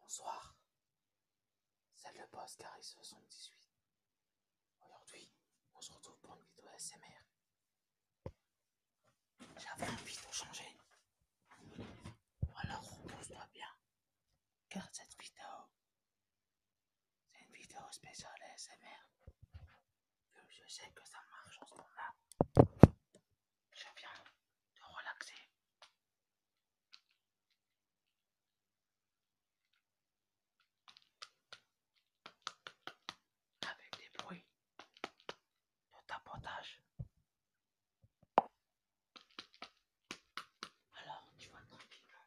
Bonsoir, c'est le boss Caris78. Aujourd'hui, on se retrouve pour une vidéo SMR. J'avais envie de changer. Alors repose-toi bien, car cette vidéo, c'est une vidéo spéciale SMR. je sais que ça marche en ce moment. Je viens de relaxer. Avec des bruits de tapotage. Alors, tu vas tranquillement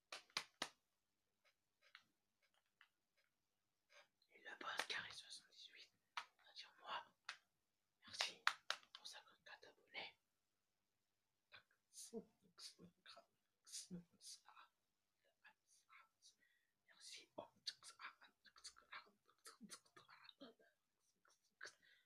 Et la bonne carré 78, c'est-à-dire moi. Merci pour 54 abonnés. Merci.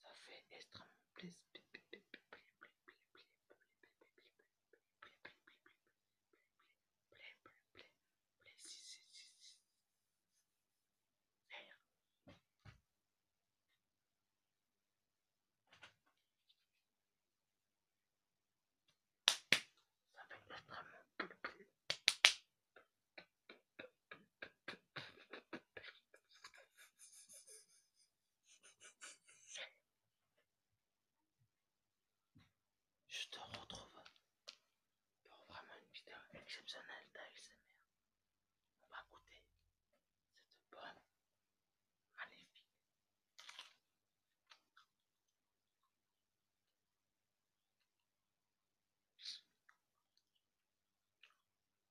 Ça fait extrêmement plaisir. Ça fait extrêmement je te retrouve pour vraiment une vidéo exceptionnelle d'ASMR. On va goûter cette bonne magnifique.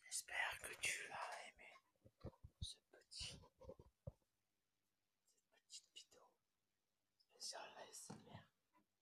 J'espère que tu as aimé ce petit, cette petite vidéo la ASMR.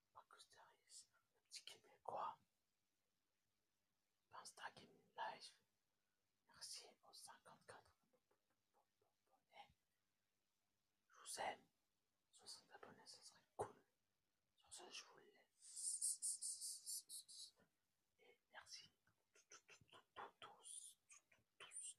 le petit Québécois. Live. Merci aux 54 abonnés. Je vous aime. 60 abonnés, ce serait cool. Sur ce, je vous laisse. Et merci. Tous.